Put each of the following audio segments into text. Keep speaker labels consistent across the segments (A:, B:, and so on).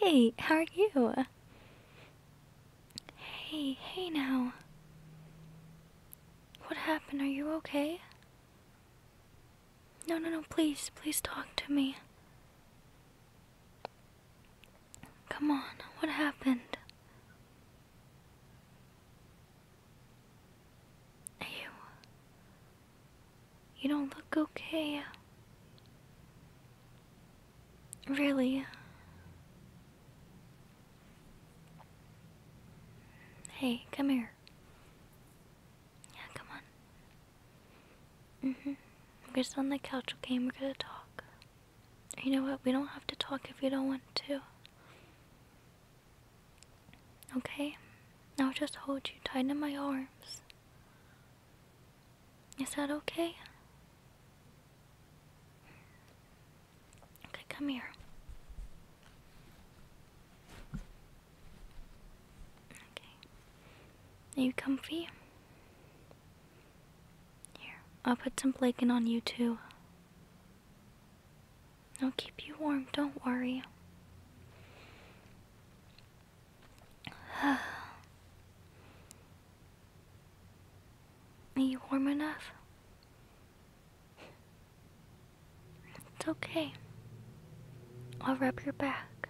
A: Hey, how are you? Hey, hey now. What happened? Are you okay? No, no, no, please, please talk to me. Come on, what happened? You. You don't look okay. Really. Hey, come here. Yeah, come on. hmm. We're just on the couch, okay? we're gonna talk. You know what? We don't have to talk if you don't want to. Okay? Now just hold you tight in my arms. Is that okay? Okay, come here. Okay. Are you comfy? Here, I'll put some blanket on you too. I'll keep you warm, don't worry. Are you warm enough? It's okay. I'll rub your back.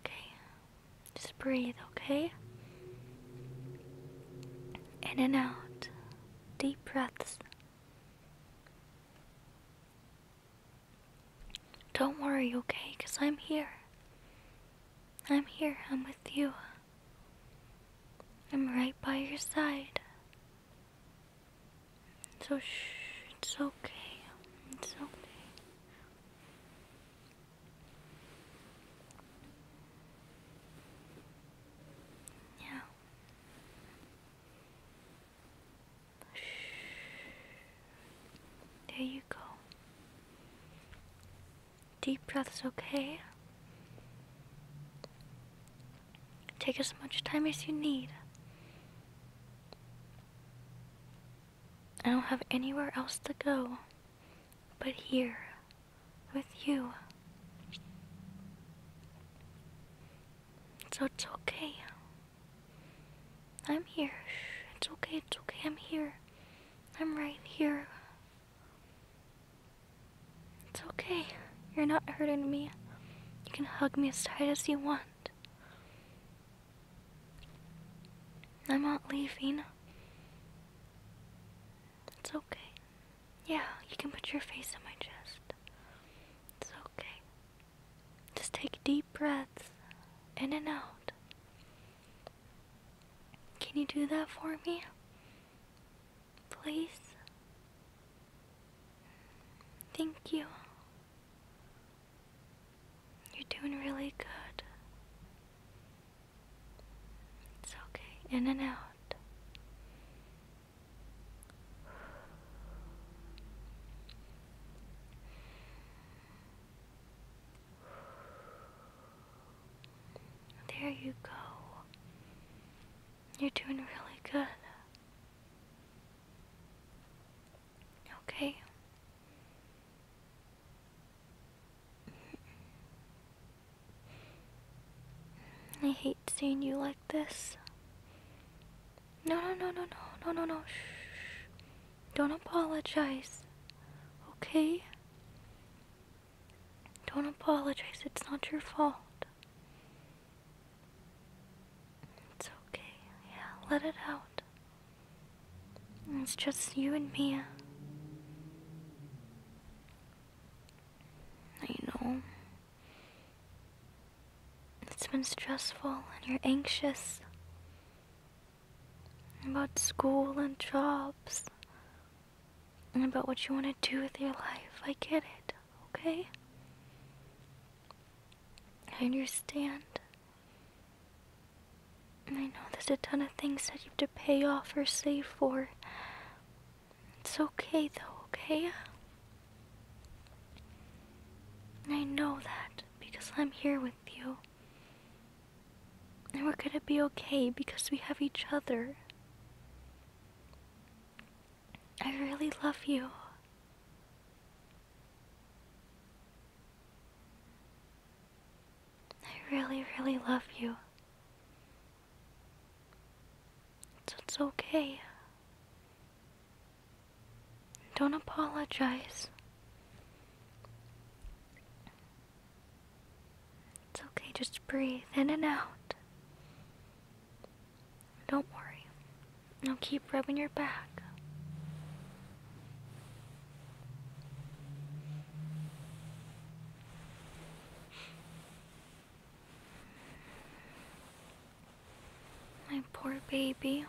A: Okay. Just breathe, okay? In and out deep breaths. Don't worry, okay? Because I'm here. I'm here. I'm with you. I'm right by your side. So, it's okay. It's okay. Yeah. There you go. Deep breaths, okay? Take as much time as you need. I don't have anywhere else to go but here with you. So it's okay. I'm here. It's okay, it's okay. I'm here. I'm right here. It's okay. You're not hurting me. You can hug me as tight as you want. I'm not leaving. It's okay. Yeah, you can put your face on my chest. It's okay. Just take deep breaths in and out. Can you do that for me? Please? Thank you. You're doing really good. It's okay. In and out. There you go. You're doing really good. Okay. I hate seeing you like this. No, no, no, no, no, no, no, no. Shh. Don't apologize. Okay? Don't apologize. It's not your fault. It's okay. Yeah, let it out. It's just you and me. I know. It's been stressful and you're anxious about school and jobs and about what you want to do with your life. I get it, okay? I understand. I know there's a ton of things that you have to pay off or save for. It's okay though, okay? I know that because I'm here with you. And we're gonna be okay because we have each other. I really love you. I really, really love you. It's okay. Don't apologize. It's okay, just breathe in and out. Don't worry. Now keep rubbing your back. My poor baby.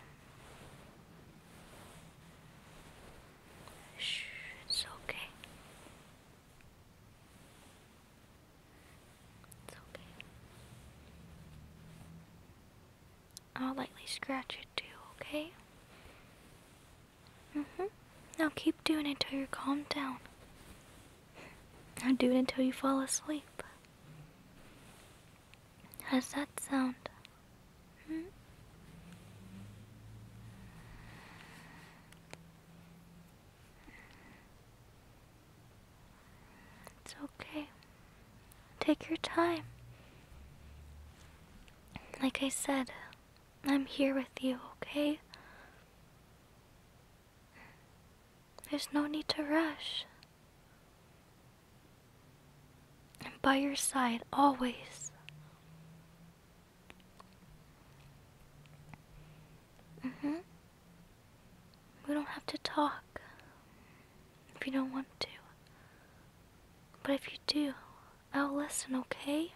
A: it's okay. It's okay. I'll lightly scratch it too, okay? Mm-hmm. Now keep doing it until you're calmed down. Now do it until you fall asleep. How's that sound? Mm-hmm. It's okay. Take your time. Like I said, I'm here with you, okay? There's no need to rush. I'm by your side, always. Mm-hmm. We don't have to talk if you don't want to. But if you do, I'll listen, okay?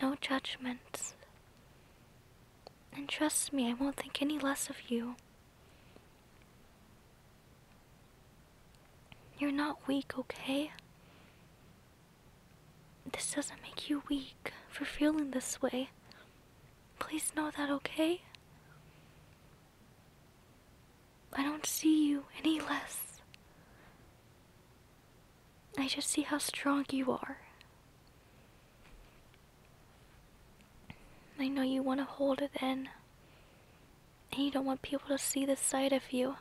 A: No judgments. And trust me, I won't think any less of you. You're not weak, okay? This doesn't make you weak for feeling this way. Please know that, okay? I don't see you any less. I just see how strong you are. I know you want to hold it in. And you don't want people to see the side of you.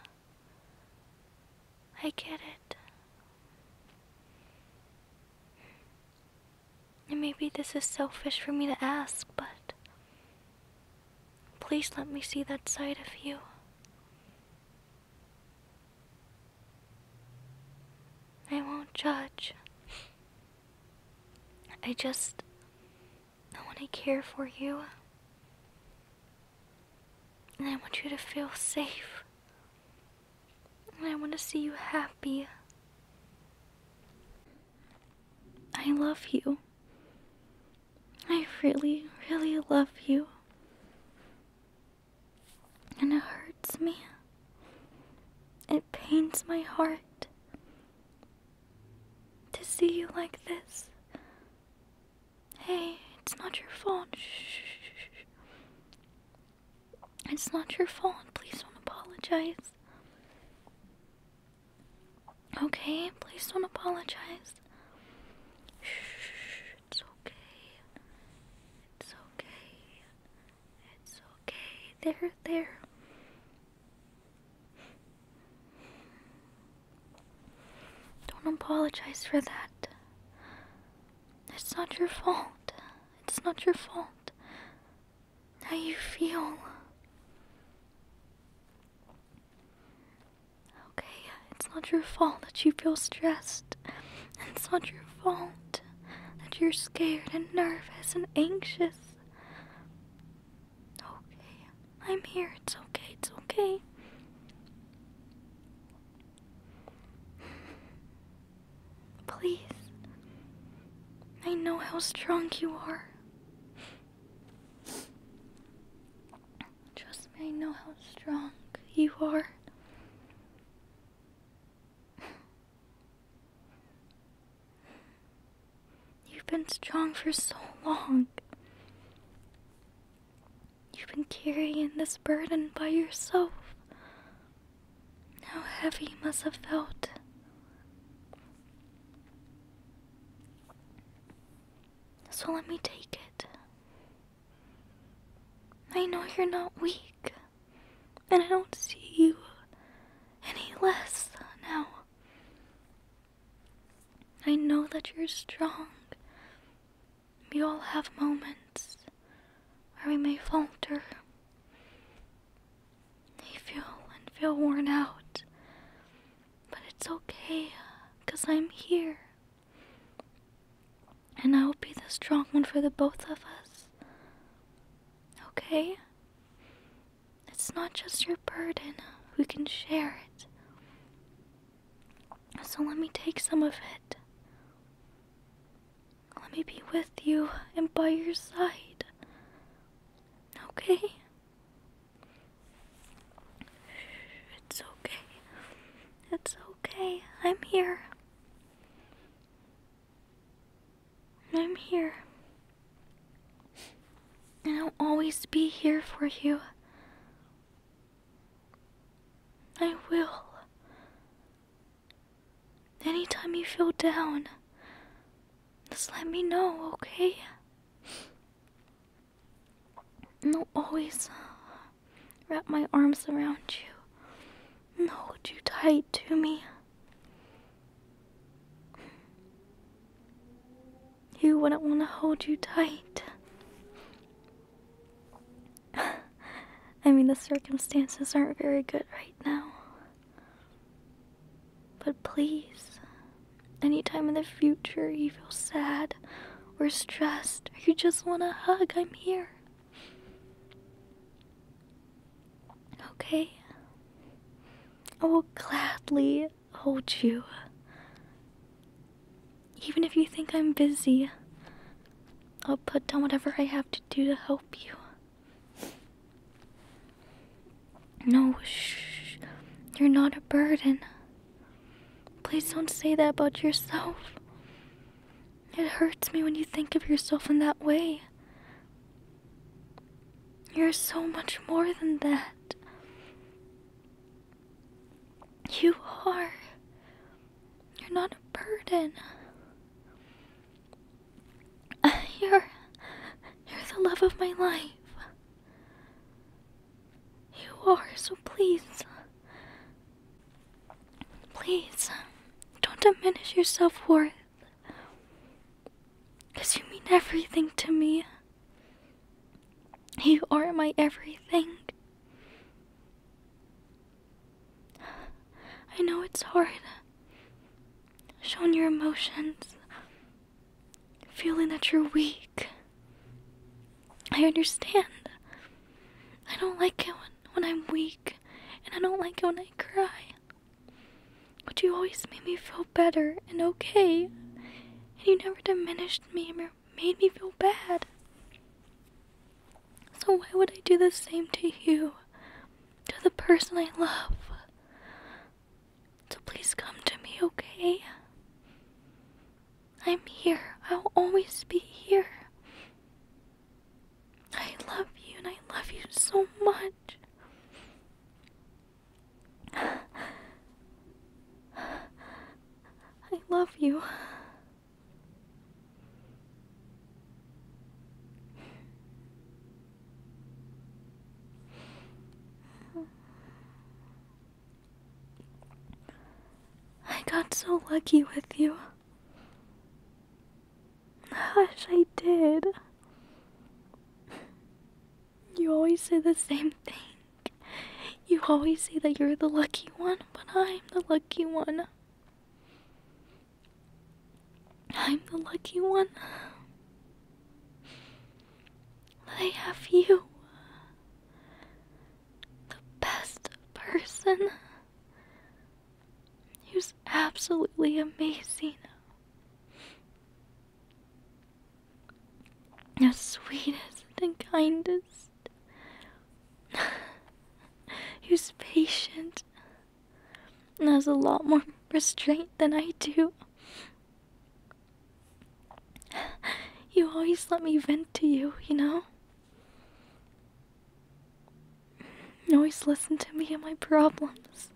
A: I get it. And maybe this is selfish for me to ask, but Please let me see that side of you. I won't judge. I just I want to care for you. And I want you to feel safe. And I want to see you happy. I love you. I really, really love you. And it hurts me. It pains my heart to see you like this. Hey, it's not your fault. Shh. It's not your fault. Please don't apologize. Okay, please don't apologize. Shh, it's okay. It's okay. It's okay. There, there. Don't apologize for that. It's not your fault. It's not your fault. How you feel. Okay, it's not your fault that you feel stressed. And it's not your fault that you're scared and nervous and anxious. Okay, I'm here. It's okay. It's okay. Please. I know how strong you are. Trust me, I know how strong you are. You've been strong for so long. You've been carrying this burden by yourself. How heavy you must have felt. So let me take it. I know you're not weak, and I don't see you any less now. I know that you're strong. We all have moments where we may falter. You feel and feel worn out. But it's okay, because I'm here. And I will be the strong one for the both of us. Okay? It's not just your burden, we can share it. So let me take some of it. Let me be with you and by your side. Okay? It's okay. It's okay. I'm here. I'm here. And I'll always be here for you. I will. Anytime you feel down, just let me know, okay? No, always uh, wrap my arms around you. No, hold you tight to me. You wouldn't want to hold you tight. I mean, the circumstances aren't very good right now. But please. Anytime in the future you feel sad or stressed or you just want a hug, I'm here. Okay? I will gladly hold you. Even if you think I'm busy, I'll put down whatever I have to do to help you. No, shh. You're not a burden. Please don't say that about yourself. It hurts me when you think of yourself in that way. You're so much more than that. You are. You're not a burden. You're. You're the love of my life. You are, so please. Please, don't diminish your self worth. Because you mean everything to me. You are my everything. I know it's hard. Showing your emotions feeling that you're weak. I understand. I don't like it when, when I'm weak, and I don't like it when I cry. But you always made me feel better and okay, and you never diminished me or made me feel bad. So why would I do the same to you, to the person I love? So please come to me, okay? I'm here. I'll always be here. I love you and I love you so much. I love you. I got so lucky with you. Gosh, I did. You always say the same thing. You always say that you're the lucky one, but I'm the lucky one. I'm the lucky one. They have you. The best person who's absolutely amazing. The sweetest and kindest. who's patient and has a lot more restraint than I do. you always let me vent to you, you know? You always listen to me and my problems.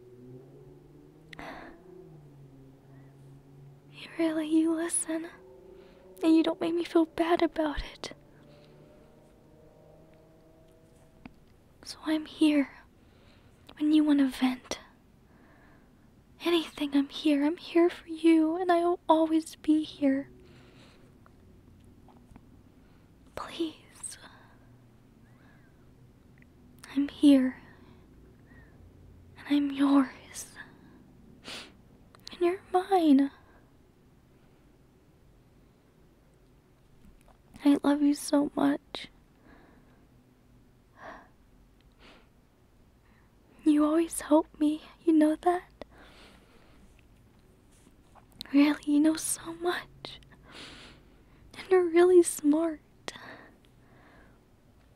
A: really, you listen. And you don't make me feel bad about it. So I'm here when you want to vent. Anything, I'm here. I'm here for you, and I'll always be here. Please. I'm here. And I'm yours. And you're mine. I love you so much. You always help me, you know that? Really, you know so much. And you're really smart.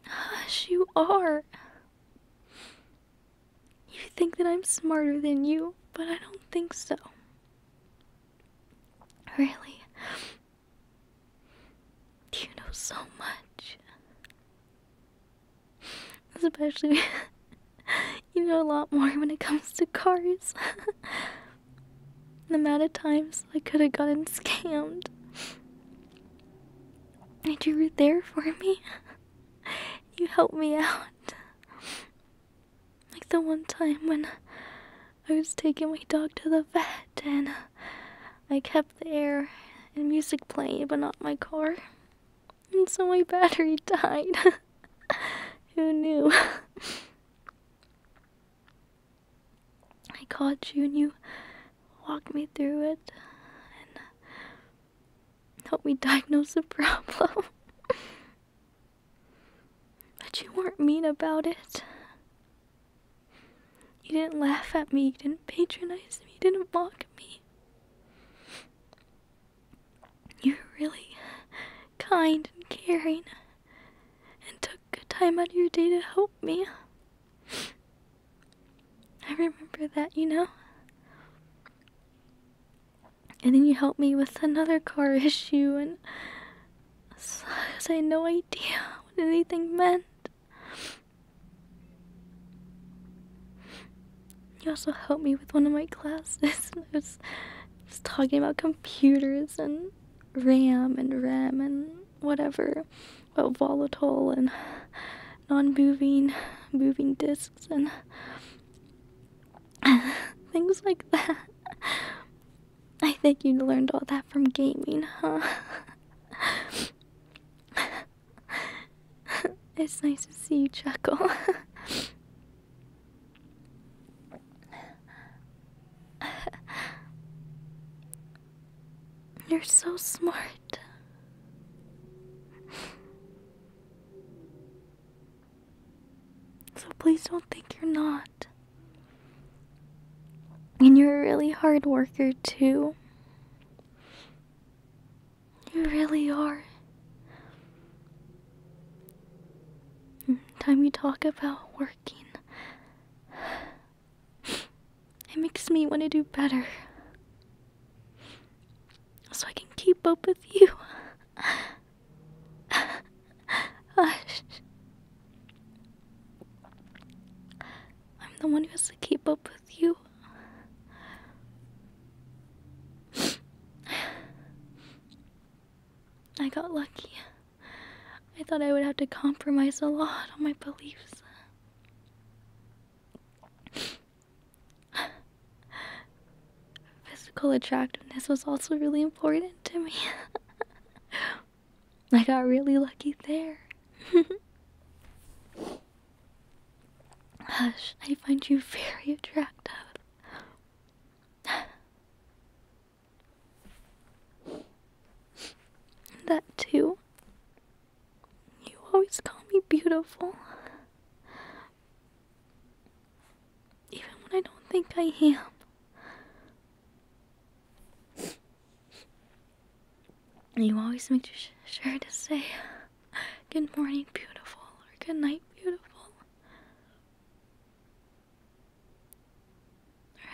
A: Hush, you are. You think that I'm smarter than you, but I don't think so. Really, you know so much. Especially, you know a lot more when it comes to cars. the amount of times I could have gotten scammed. And you were there for me. You helped me out. Like the one time when I was taking my dog to the vet and uh, I kept the air and music playing, but not my car. And so my battery died. Who knew? I called you and you walked me through it and uh, helped me diagnose the problem. but you weren't mean about it. You didn't laugh at me, you didn't patronize me, you didn't mock me. you were really kind and caring and took a time out of your day to help me. I remember that, you know? And then you helped me with another car issue and as I know I idea what anything meant. You also helped me with one of my classes. I was, was talking about computers and RAM and RAM and whatever, about volatile and non-moving, moving disks and things like that. I think you learned all that from gaming, huh? it's nice to see you chuckle. You're so smart. So please don't think you're not. And you're a really hard worker, too. You really are. Time you talk about working, it makes me want to do better. So I can keep up with you. Hush. I'm the one who has to keep up with you. I got lucky. I thought I would have to compromise a lot on my beliefs. Physical attractiveness was also really important to me. I got really lucky there. Hush, I find you very attractive. that too. You always call me beautiful. Even when I don't think I am. You always make sure to say good morning, beautiful, or good night, beautiful, or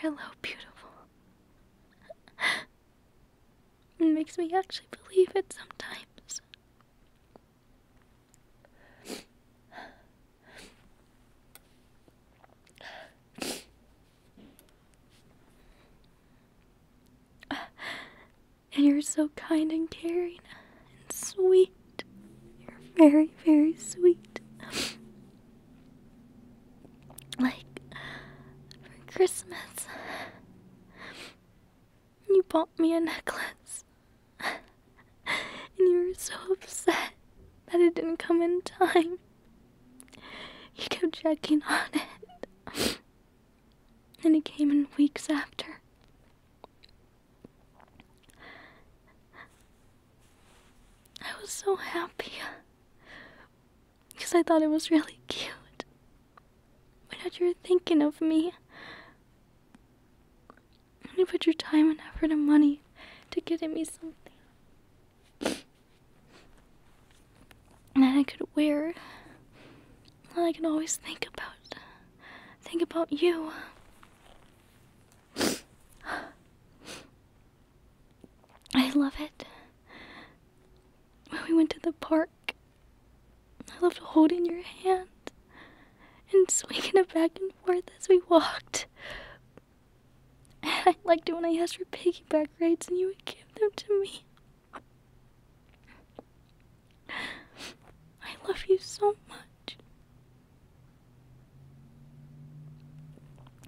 A: hello, beautiful. It makes me actually believe it sometimes. And you're so kind and caring and sweet. You're very, very sweet. Like, for Christmas, you bought me a necklace and you were so upset that it didn't come in time. You kept checking on it, and it came in weeks after. I was so happy because I thought it was really cute. But now you're thinking of me. And you put your time and effort and money to get getting me something that I could wear. That I can always think about. Think about you. I love it. When we went to the park, I loved holding your hand and swinging it back and forth as we walked. I liked it when I asked for piggyback rides and you would give them to me. I love you so much.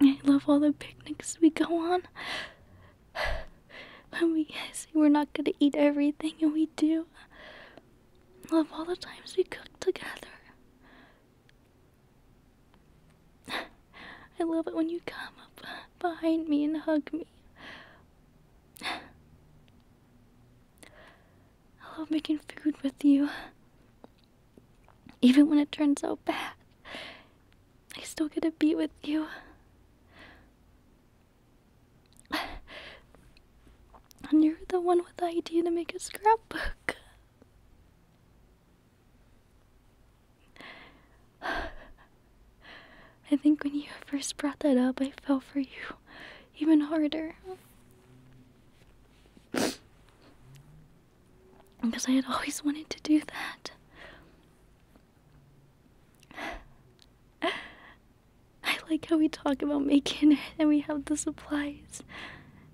A: I love all the picnics we go on. When we say we're not gonna eat everything, and we do. love all the times we cook together. I love it when you come up behind me and hug me. I love making food with you. Even when it turns out bad, I still get a beat with you. And you're the one with the idea to make a scrapbook. I think when you first brought that up, I fell for you even harder. because I had always wanted to do that. I like how we talk about making it and we have the supplies.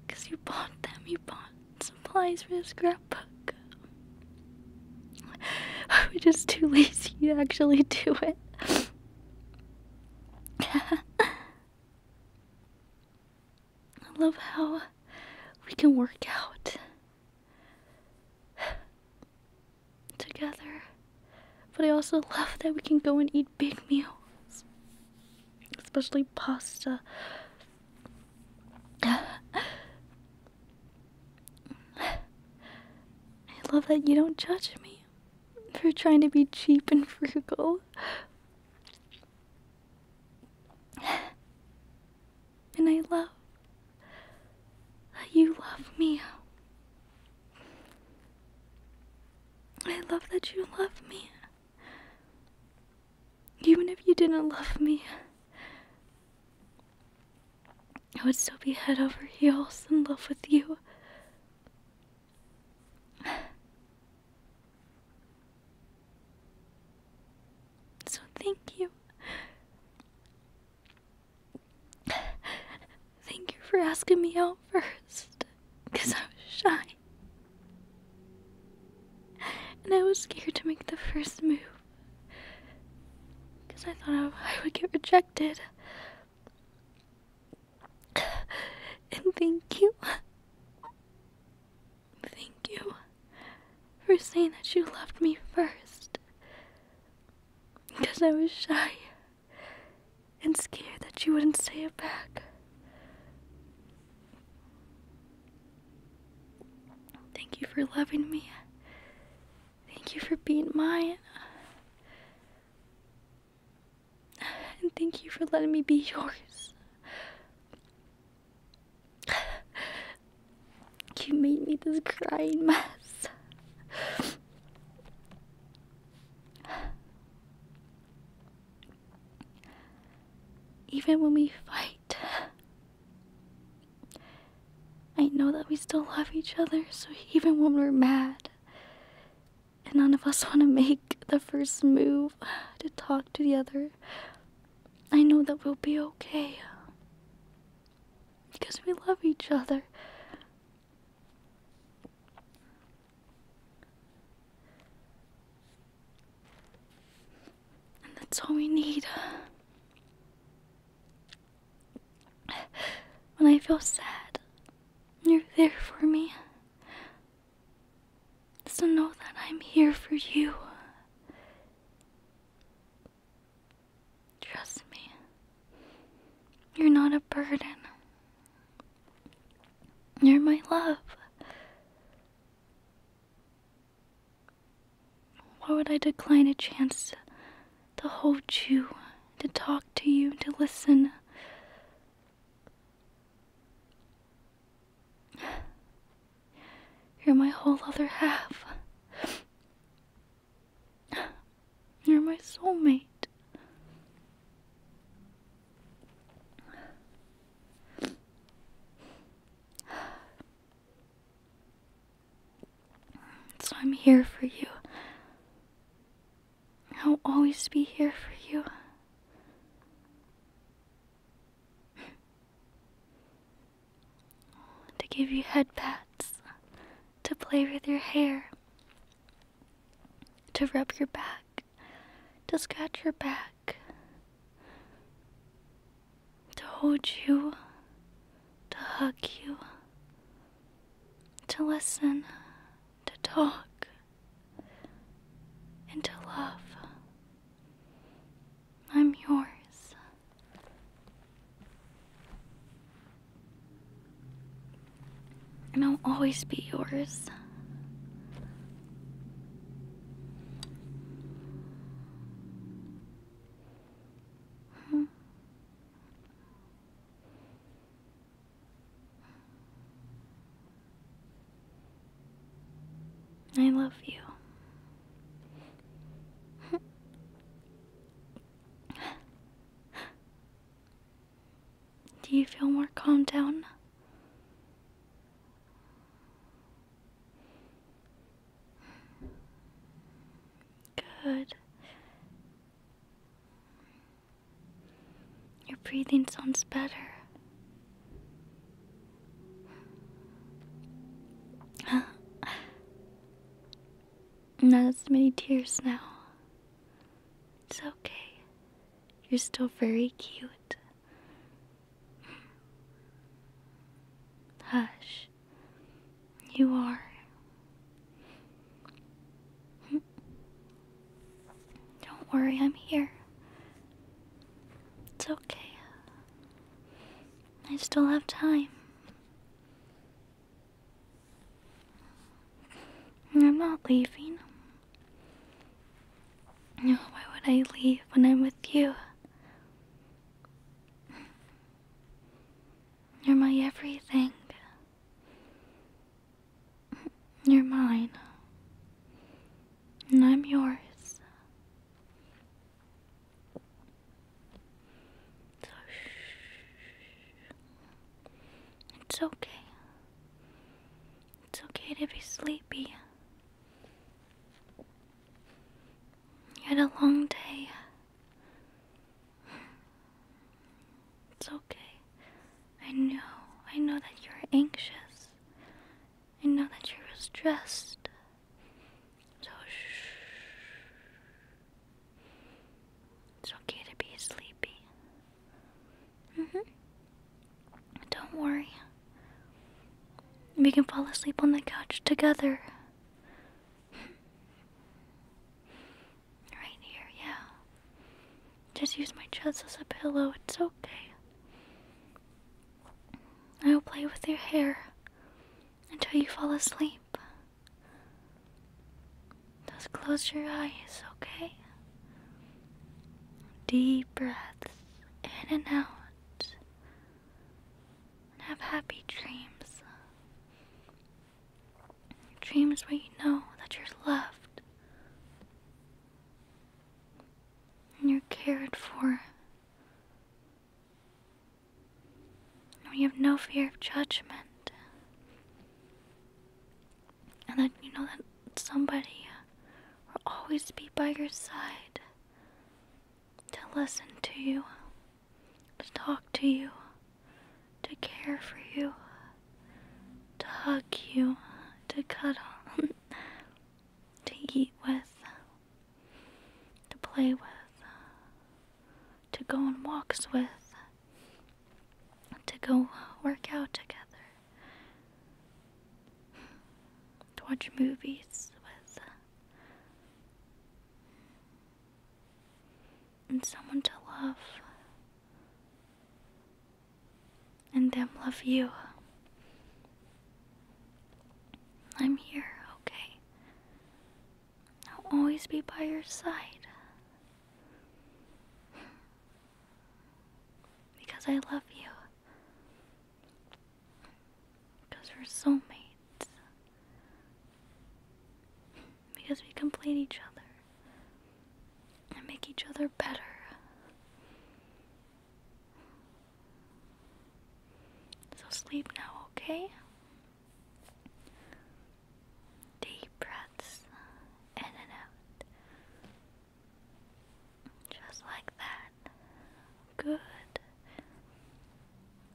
A: Because you bought them, you bought supplies for the scrapbook. I was just too lazy to actually do it. I love how we can work out together. But I also love that we can go and eat big meals, especially pasta. I love that you don't judge me for trying to be cheap and frugal. And I love that you love me. I love that you love me. Even if you didn't love me, I would still be head over heels in love with you. So thank you. Thank you for asking me out first because I was shy. And I was scared to make the first move because I thought I would get rejected. And thank you. Thank you for saying that you loved me first because I was shy and scared that you wouldn't say it back. Thank you for loving me. Thank you for being mine. And thank you for letting me be yours. You made me this crying mess. Even when we fight, I know that we still love each other, so even when we're mad, and none of us want to make the first move to talk to the other, I know that we'll be okay. Because we love each other. And that's all we need. When I feel sad, you're there for me. Just to know that I'm here for you. Trust me, you're not a burden. You're my love. Why would I decline a chance to hold you, to talk to you, to listen? You're my whole other half. You're my soulmate. So I'm here for you. I'll always be here for you. to give you head to play with your hair, to rub your back to scratch your back, to hold you, to hug you, to listen, to talk, and to love. I'm yours. And I'll always be yours. Hmm. I love you. Do you feel more calmed down? Good. Your breathing sounds better. Not too many tears now. It's okay. You're still very cute. Hush. You are. Don't worry, I'm here. It's okay. I still have time. I'm not leaving why would I leave when I'm with you? You're my everything. You're mine. And I'm yours. It's okay. It's okay to be sleepy. You had a long day. It's okay. I know. I know that you're anxious. I know that you're stressed. So shh. It's okay to be sleepy hmm. Don't worry. We can fall asleep on the couch together. Right here, yeah. Just use my chest as a pillow, it's okay. I'll play with your hair until you fall asleep. Just close your eyes, okay? Deep breaths in and out. And have happy dreams. Dreams where you know that you're loved and you're cared for. And you have no fear of judgment and that you know that somebody will always be by your side to listen to you, to talk to you, to care for you, to hug you, to cuddle, to eat with, to play with, to go on walks with, to go uh, work out together, to watch movies with, uh, and someone to love, and them love you. I'm here, okay? I'll always be by your side. Because I love you. Because we're soulmates. Because we complete each other and make each other better. So sleep now, okay? Deep breaths in and out. Just like that. Good.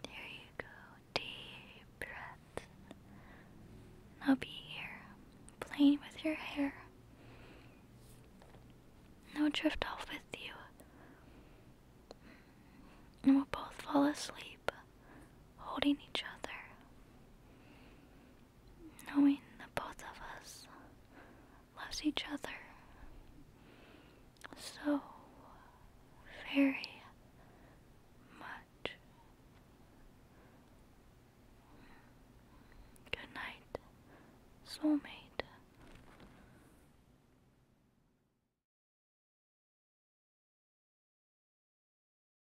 A: There you go. Deep breaths. Now be here, playing with your hair. Now drift off with you. And we'll both fall asleep, holding each other knowing that both of us loves each other so very much. Good night, soulmate.